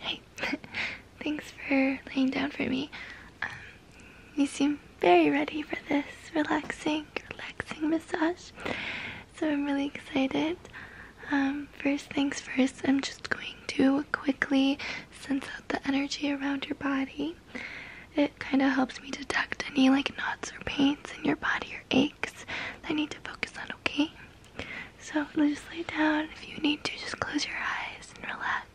Hey, thanks for laying down for me. Um, you seem very ready for this relaxing, relaxing massage. So I'm really excited. Um, first things first, I'm just going to quickly sense out the energy around your body. It kind of helps me detect any like knots or pains in your body or aches that I need to focus on, okay? So just lay down. If you need to, just close your eyes and relax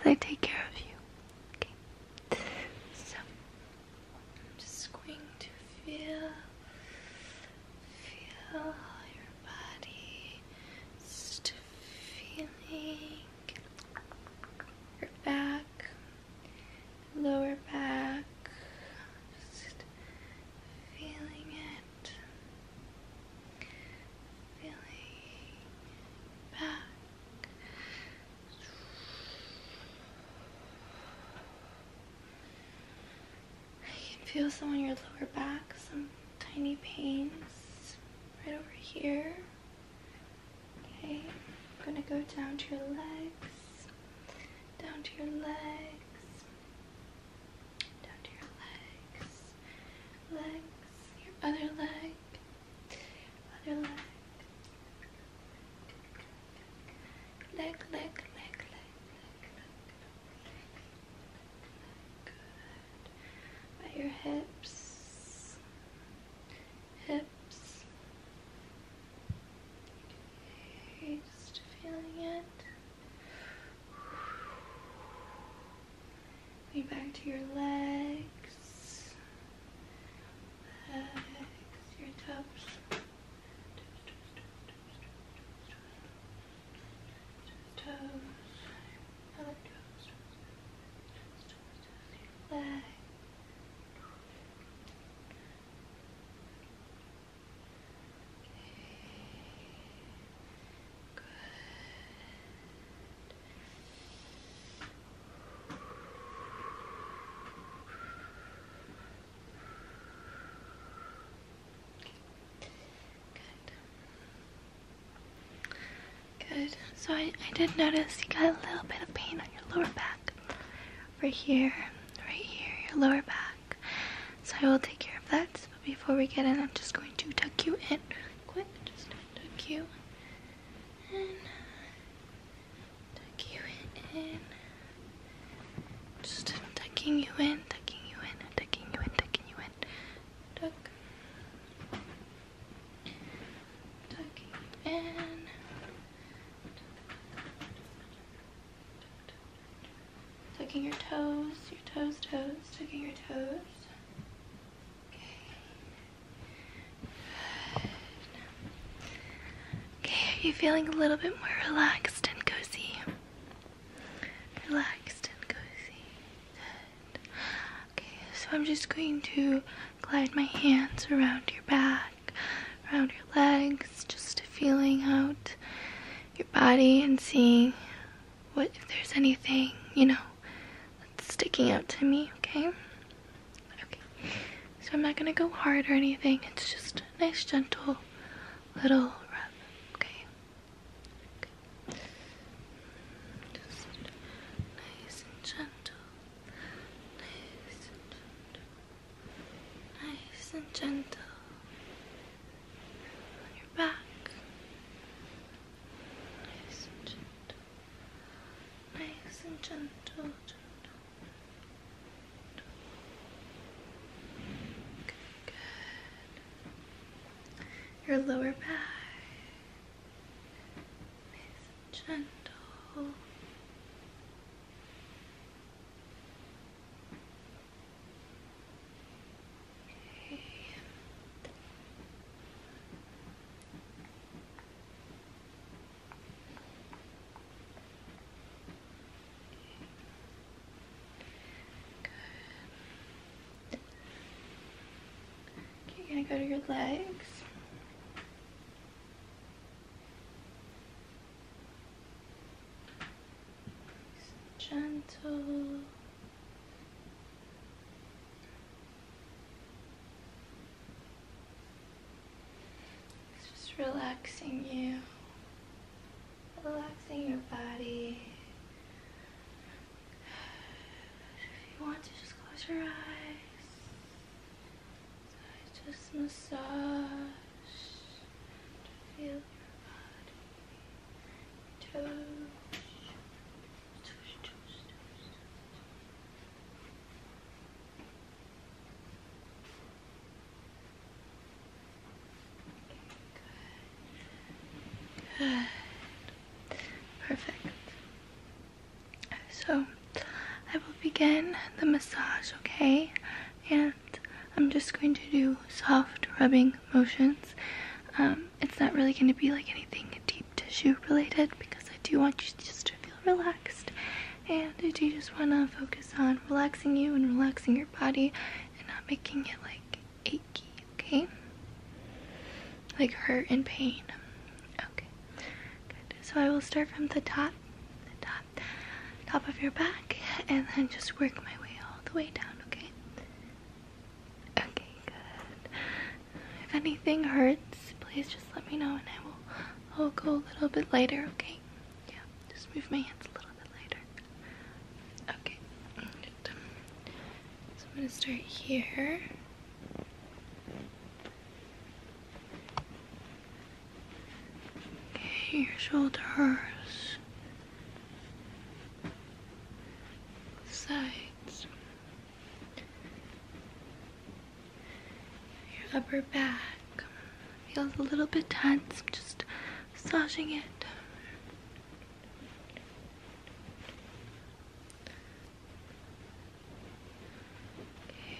as I take care of you. So I'm just going to feel, feel your body, just feeling your back, lower back, feeling it, feeling back. feel some on your lower back, some tiny pains right over here. Okay, I'm gonna go down to your legs, down to your legs down to your legs, legs, your other leg, other leg, leg, leg, leg, leg, leg, leg, good, by your hips, hips, just feeling it. back to your legs. Legs, your toes. Toes, toes, toes, toes Good. Good. So I, I did notice you got a little bit of pain on your lower back upper here, right here, your lower back. So I will take care of that. But before we get in, I'm just going to tuck you in Just tuck you in. Tuck you in. Just tucking you in, tucking you in, tucking you in, tucking you in. Tuck. Tucking in. Tucking your toes, your toes, toes, tucking your toes. Okay. are you feeling a little bit more relaxed and cozy? Relaxed and cozy. Okay, so I'm just going to glide my hands around your back around your legs, just feeling out your body and seeing what if there's anything, you know, that's sticking out to me, okay? Okay. So I'm not gonna go hard or anything, it's just nice gentle little rub, okay? okay. nice and gentle. Nice and gentle nice and gentle on your back. Nice and gentle. Nice and gentle, Good, good. Your lower back. Nice and gentle. Okay. Good. Okay, you go to your legs gentle. It's just relaxing you, relaxing your body. If you want to, just close your eyes just massage to feel your body. Touch. Touch, touch, touch, touch. Okay, Perfect. So I will begin the massage, okay? And I'm just going to do soft rubbing motions. Um, it's not really going to be like anything deep tissue related because I do want you just to feel relaxed. And I do just want to focus on relaxing you and relaxing your body and not making it like achy, okay? Like hurt and pain. Okay, So I will start from the top, top, of your back, and then just work my way all the way down, okay? Okay, good. If anything hurts, please just let me know and I will i go a little bit lighter, okay? Yeah, just move my hands a little bit lighter. Okay, good. So I'm gonna start here. Okay, your shoulders, sides, your upper back feels a little bit tense. just massaging it.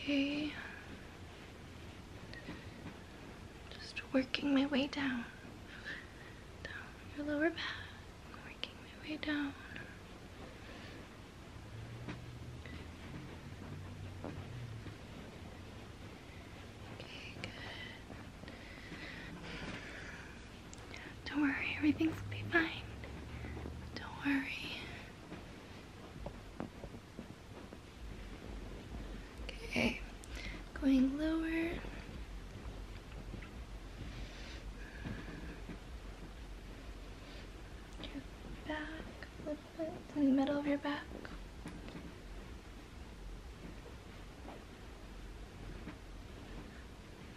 Okay. Just working my way down. Down your lower back. Working my way down. Okay, good. Don't worry, everything's gonna be fine. Don't worry. Okay, going lower. Your back little bit, in the middle of your back.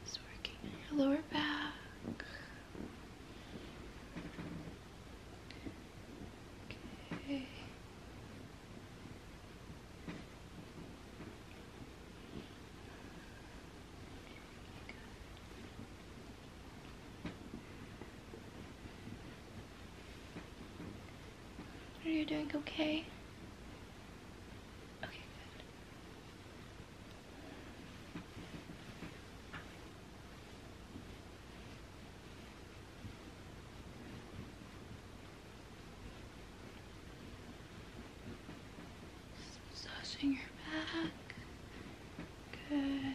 It's working in your lower back. Okay. Are you doing okay? Okay, good. Just massaging your back. Good.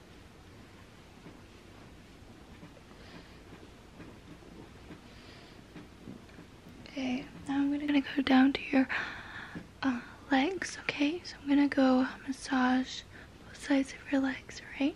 Okay, now I'm gonna, go down to your uh, legs, okay? So I'm gonna go massage both sides of your legs, right?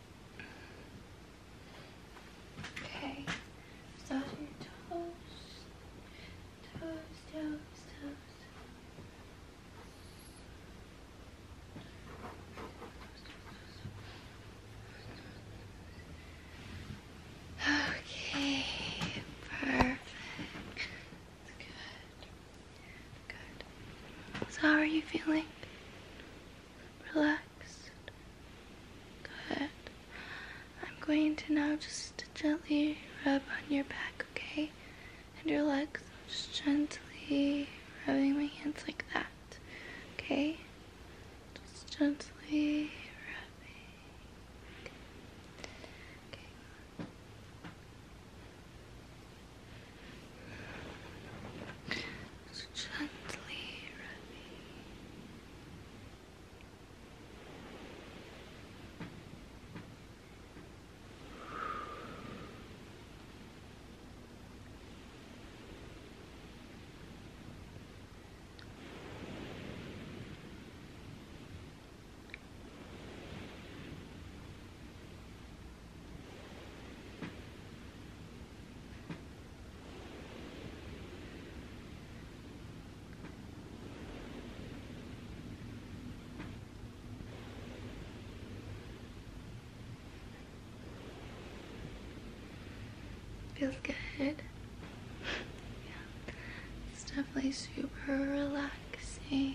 Okay. toes. Toes, toes, toes. Okay, perfect. Good. Good. So how are you feeling? Relax. relaxed. Good. I'm going to now just gently rub on your back, okay? And your legs. just gently rubbing my hands like that, okay? Just gently rubbing gently rubbing. Feels good. It's definitely super relaxing.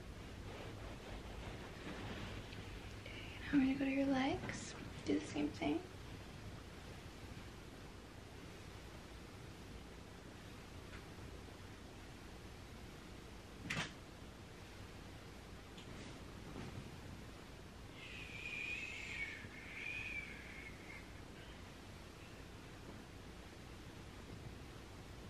I'm gonna go to your legs. Do the same thing.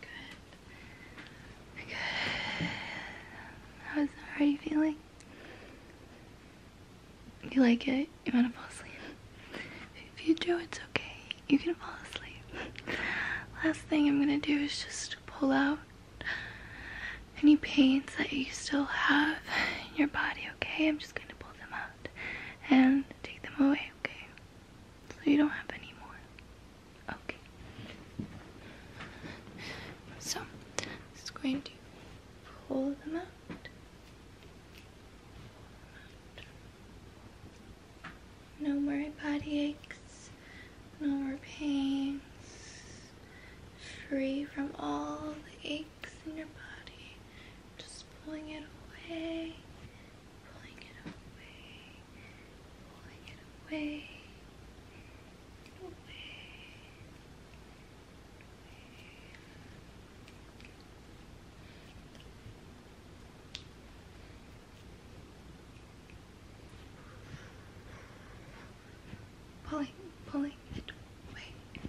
Good. Good. How's, how are you feeling? You like it? You want to fall asleep? If you do, it's okay. You can fall asleep. Last thing I'm gonna do is just pull out any pains that you still have in your body, okay? I'm just gonna pull them out and take them away, okay? So you don't have any more. Okay. So, I'm just going to Pull them out. No more body aches, no more pains, free from all the aches in your body, just pulling it away, pulling it away, pulling it away, away, pulling, pulling it away.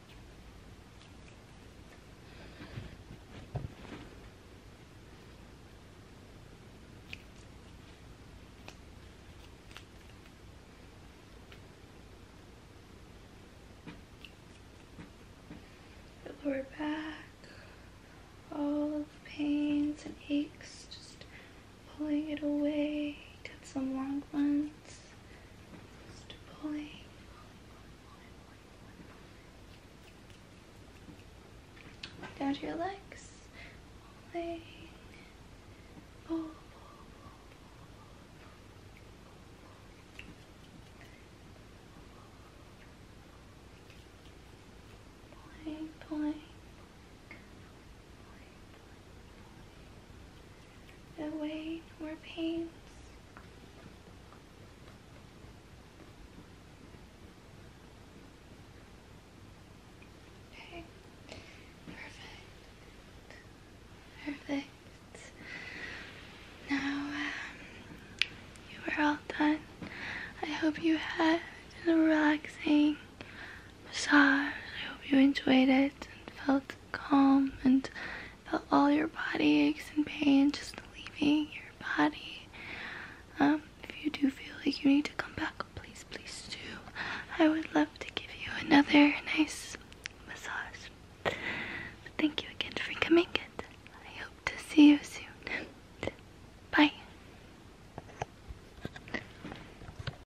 The lower back, all of the pains and aches just pulling it away. Got some long ones. Just pulling. Down to your legs. Pulling. Pull. Oh. Pulling, pulling away more pains. perfect, perfect. Now um, you are all done. I hope you had a relaxing massage. I hope you enjoyed it and felt calm and felt all your body aches and pain just leaving your body. Um, if you do feel like you need to come back, please, please do. I would love to give you another nice massage. thank you again for coming. It. I hope to see you soon. Bye.